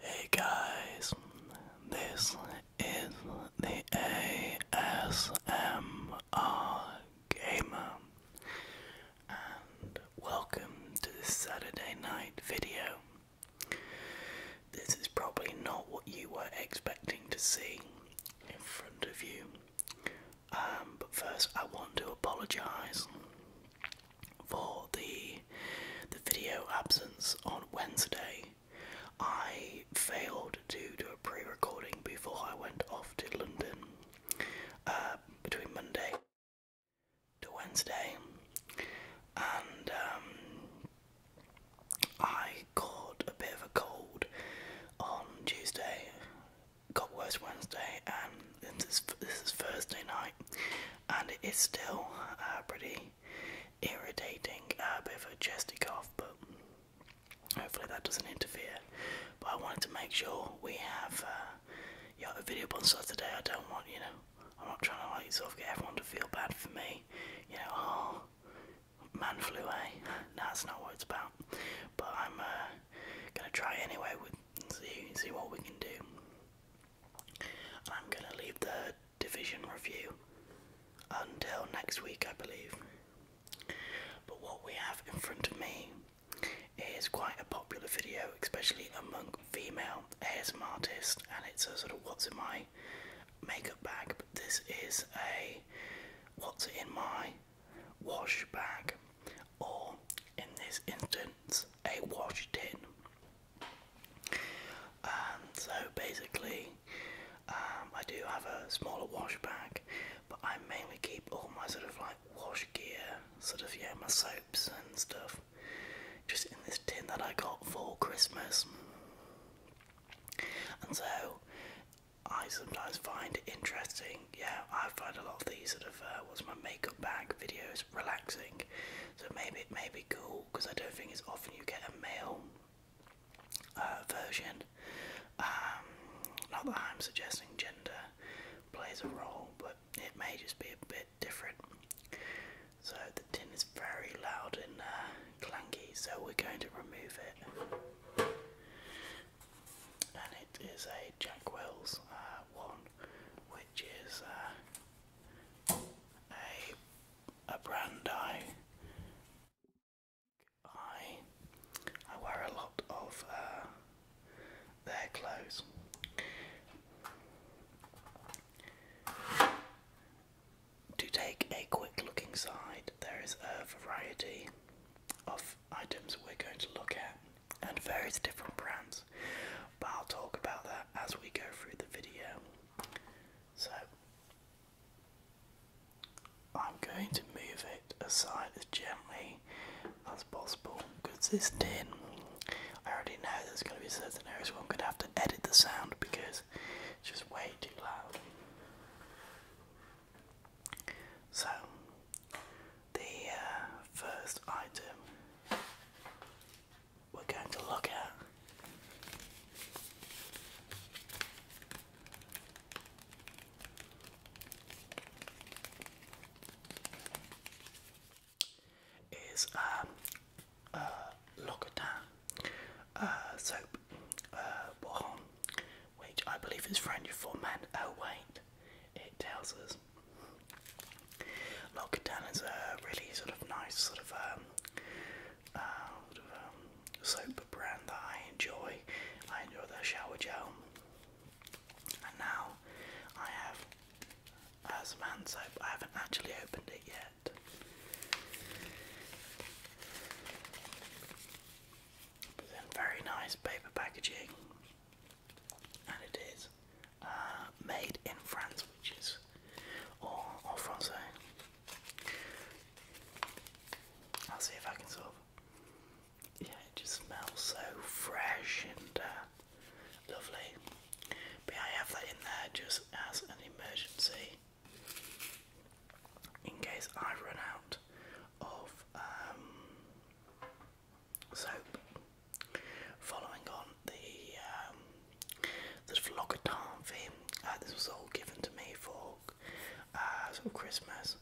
Hey guys, this is the ASMR Gamer, and welcome to this Saturday night video. This is probably not what you were expecting to see, in front of you. Um, but first, I want to apologise for the the video absence on Wednesday. I failed to do a pre-recording before I went off to London uh, between Monday to Wednesday, and um, I caught a bit of a cold on Tuesday, got worse Wednesday, and this is, this is Thursday night, and it is still uh, pretty irritating, a bit of a chesty cough, but hopefully that doesn't interfere. But I wanted to make sure we have uh, yeah, a video on Saturday. I don't want, you know, I'm not trying to like sort of get everyone to feel bad for me, you know, oh, Man flu A. Eh? No, that's not what it's about. But I'm uh, gonna try anyway. With see see what we can do. I'm gonna leave the division review until next week, I believe. But what we have in front of me is quite a popular video, especially among female ASM artists, and it's a sort of what's in my makeup bag. But this is a what's in my wash bag or in this instance a wash tin um, so basically um, I do have a smaller wash bag but I mainly keep all my sort of like wash gear sort of yeah my soaps and stuff just in this tin that I got for Christmas and so I sometimes find interesting. Yeah, I find a lot of these sort of uh, what's my makeup bag videos relaxing. So maybe it may be cool because I don't think it's often you get a male uh, version. Um, not that I'm suggesting gender plays a role, but it may just be a bit different. So the tin is very loud in there. Uh, clanky, so we're going to remove it. And it is a Jack Wells uh, one, which is uh, a a brand I I I wear a lot of uh, their clothes. To take a quick look inside, there is a variety of items we're going to look at and various different brands, but I'll talk about that as we go through the video. So, I'm going to move it aside as gently as possible because this tin, I already know there's going to be certain areas where I'm going to have to edit the sound because it's just way too loud. So, the uh, first item we're going to look at is um, uh, uh, soap, uh, which I believe is French for men. Oh, wait, it tells us. L'Occitane is a really sort of nice sort of, um, uh, sort of um, soap brand that I enjoy. I enjoy their shower gel. And now I have uh, soap. I haven't actually opened it yet very nice paper packaging, and it is uh, made in France, which is or or Francais. I'll see if I can sort of. Yeah, it just smells so fresh and uh, lovely. But I have that in there just as an emergency in case I run out of um, soap. Following on the um, the vlogatarvi, uh, this was all given to me for uh, sort of Christmas,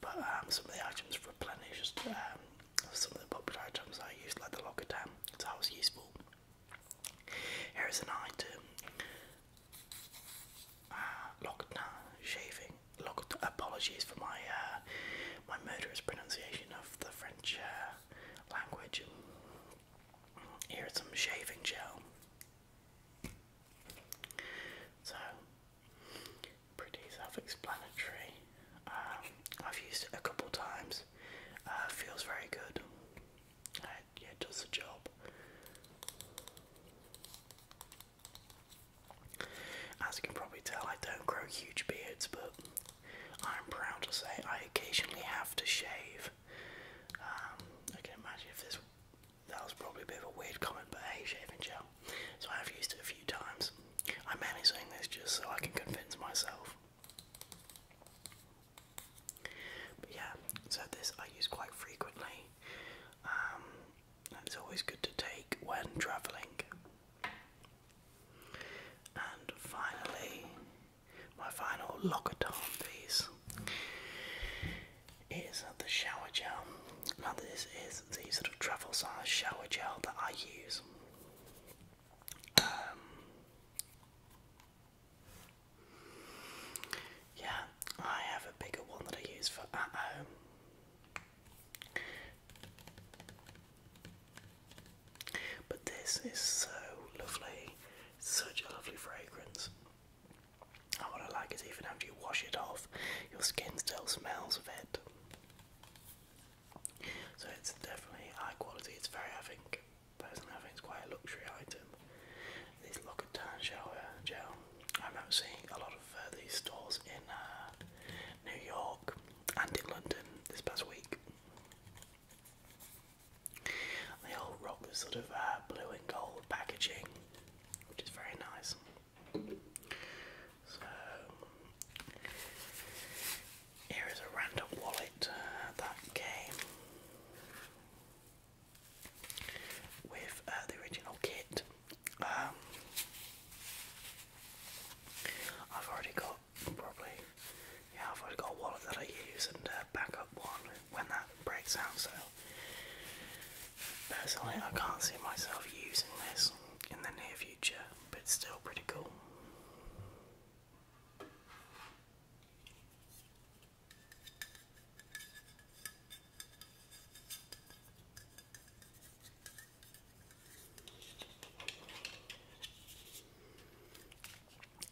but um, some of the items replenished um, some of the popular items I used, like the logatam, so that was useful. Here is an item uh, shaving. Loch apologies for my uh, my murderous pronunciation of the French uh, language. Here is some shaving gel. So pretty self-explanatory. Um, I've used it a couple times. Uh, feels very good yeah, does the job. As you can probably tell, I don't grow huge beards, but I'm proud to say I occasionally have to shave. Um, I can imagine if this that was probably a bit of a weird comment, but hey, shaving gel. So I have used it a few times. I'm mainly saying this just so I can convince myself. But yeah, so this I use quite frequently. Um, it's always good to take when travelling. And finally, my final locker locaton piece is the shower gel. Now, this is the sort of travel size shower gel that I use. Um, yeah, I have a bigger one that I use for at home. But this is so lovely, such a lovely fragrance. And what like is even after you wash it off, your skin still smells of it. So it's definitely high quality, it's very, I think, personally I think it's quite a luxury item. This Loccitane shower gel. Uh, I remember seeing a lot of uh, these stores in uh, New York and in London this past week. They all rock this sort of blue and gold packaging, which is very nice. So, here is a random wallet that came with uh, the original kit. Um, I've already got probably yeah I've already got a wallet that I use and a backup one when that breaks out. So personally, I can't see myself using this in the near future, but still pretty cool.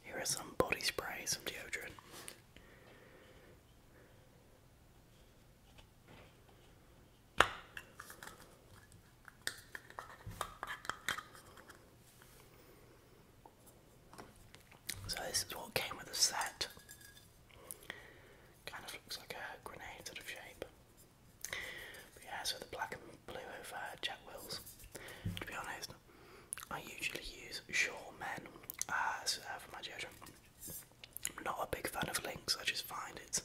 Here are some body spray, some deodorant. So this is what came with the set. Kind of looks like a grenade sort of shape. yeah, so the black and blue of uh, Wills. To be honest, I usually use Shaw uh, for my deodorant. I'm not a big fan of links. I just find it's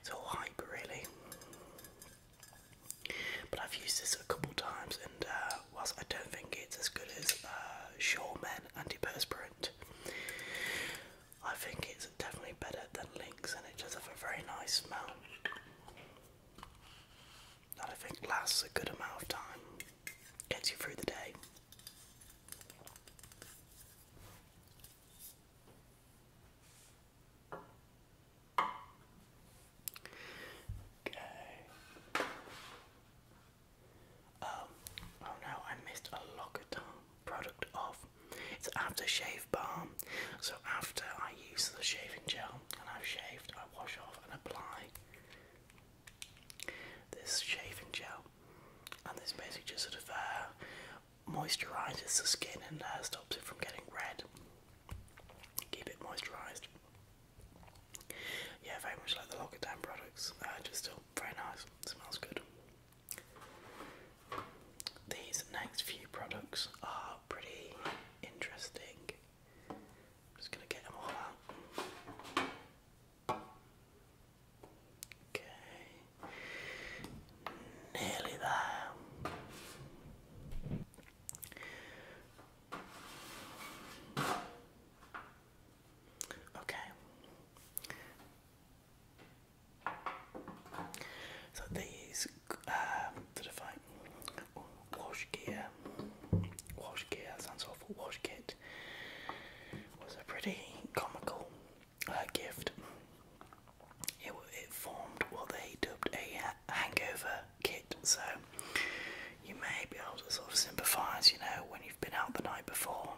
it's all hype really. But I've used this a couple times, and uh, whilst I don't think it's as good as uh, antiperspirant. I think it's definitely better than Lynx and it does have a very nice smell. That I think lasts a good amount of time, gets you through the day. Okay. Um, oh no, I missed a Locaton product off. It's aftershave balm. So after I use the shaving gel and I've shaved, I wash off and apply this shaving gel. And this basically just sort of uh, moisturizes the skin and uh, stops it from getting red. Keep it moisturized. Yeah, very much like the Locaton products, uh, just still very nice, smells good. These next few products are pretty interesting. just going to get them all out. Okay, nearly there. Okay. So these uh, sort of wash gear, wash gear sounds awful. Wash kit was a pretty comical uh, gift. It, it formed what they dubbed a hangover kit, so you may be able to sort of sympathise. You know, when you've been out the night before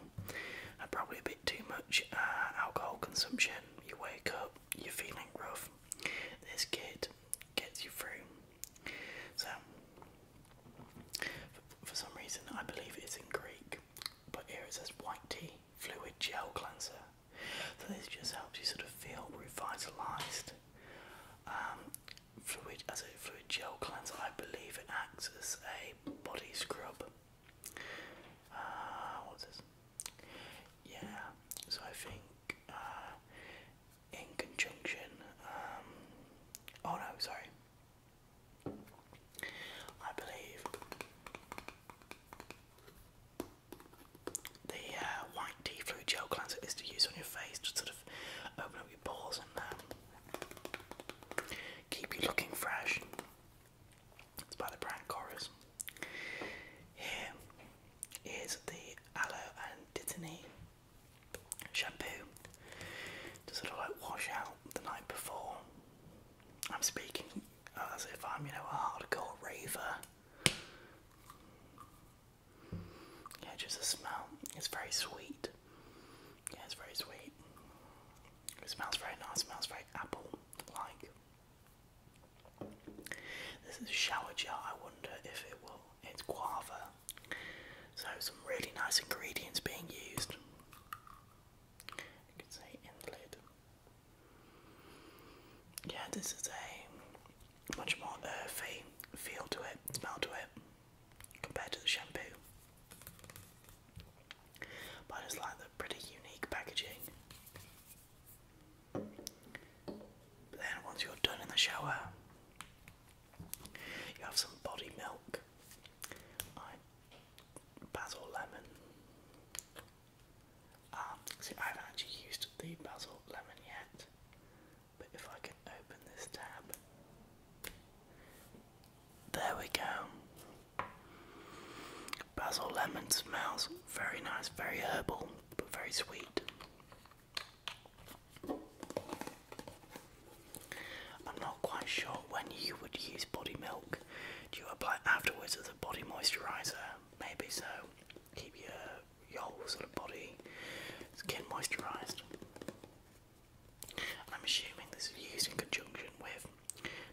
probably a bit too much uh, alcohol consumption. You wake up, you're feeling rough. This kid gets you through. So, for some reason, I believe it's in Greek, but here it says white tea fluid gel cleanser. So, this just helps you sort of feel revitalized. Um, fluid as a fluid gel cleanser, I believe it acts as a body scrub. Uh, yeah, so I think uh, in conjunction. Um, oh no, sorry. I believe the uh, white tea fluid gel cleanser is to use on your face to sort of open up your pores and um, Keep you looking fresh. It's by the brand Chorus. Here is the Aloe and Dittany shampoo to sort of like wash out the night before. I'm speaking as if I'm, you know, a hardcore raver. Yeah, just the smell. It's very sweet. Yeah, it's very sweet. It smells very nice, smells very apple like. This is a shower gel, I wonder if it will. It's guava. So, some really nice ingredients being used. You can see in Yeah, this is a much more earthy feel to it, smell to it compared to the shampoo. But I just like the pretty unique packaging. then once you're done in the shower, you have some body milk, basil lemon. Um, see, I haven't actually used the basil lemon yet, but if I can open this tab, there we go. Basil lemon smells very nice, very herbal, but very sweet. I'm not quite sure when you would use body milk. Do you apply afterwards as a body moisturizer? Maybe so. Keep your your whole sort of body skin moisturized. I'm assuming this is used in conjunction with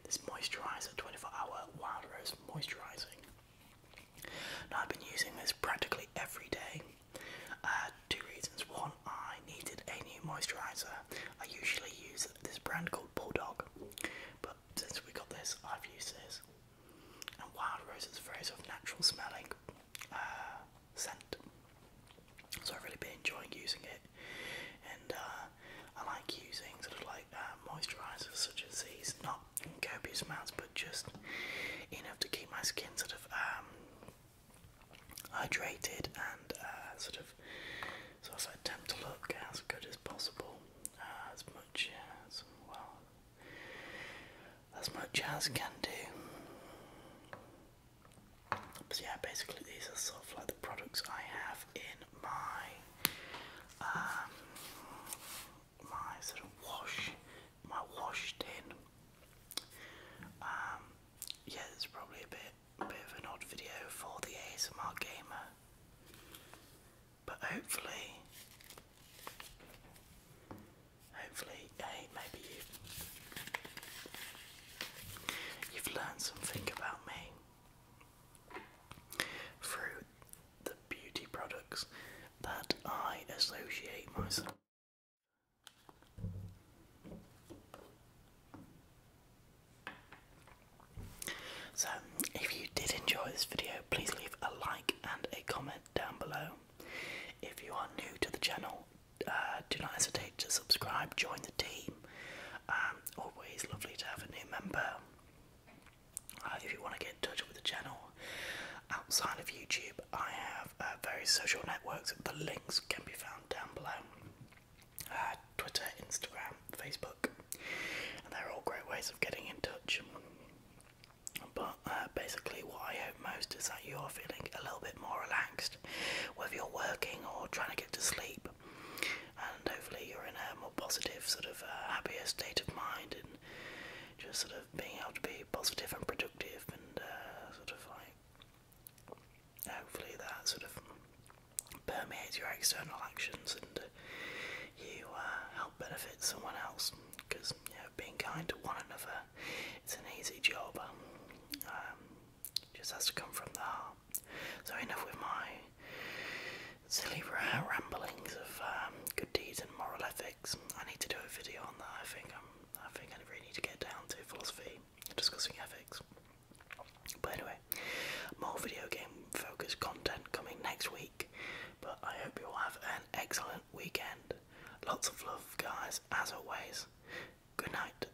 this moisturiser, 24 hour Wild Rose Moisturising. Now, I've been using this practically every day. Uh, two reasons. One, I needed a new moisturiser. I usually use this brand called Bulldog, but since we got this, I've used this. And Wild Rose is a phrase of natural smelling. Uh, scent. So I've really been enjoying using it, and uh, I like using sort of like uh, moisturisers such as these, not copious amounts, but just enough to keep my skin sort of um, hydrated and uh, sort of so as I attempt to look as good as possible, as much as well, as much as can do. But yeah, basically these are sort of like the products I have in my um, my sort of wash, my wash tin. Um, yeah, it's probably a bit, bit of an odd video for the ASMR gamer, but hopefully, hopefully, hey, maybe you, You've learned something about me through the beauty products that I associate myself. So, if you did enjoy this video, please leave a like and a comment down below. If you are new to the channel, uh, do not hesitate to subscribe, join the team. Um, always lovely to have a new member. Uh, if you want to get in touch with the channel outside of YouTube, I have uh, various social networks. The links can be found down below Twitter, Instagram, Facebook, they're all great ways of getting in touch. But basically, what I hope most is that you're feeling a little bit more relaxed whether you're working or trying to get to sleep. And hopefully, you're in a more positive, sort of uh, happier state of mind and just sort of being able to be positive and productive and uh, sort of like hopefully that sort of permeates your external actions and you uh, help benefit someone else because you know being kind to one another it's an easy job um, just has to come from the heart so enough with my silly ramblings of um, good deeds and moral ethics. I need to do a video on that. I think i I think I really need to get down to philosophy, discussing ethics. But anyway, more video game focused content coming next week. But I hope you all have an excellent weekend. Lots of love, guys, as always. Good night.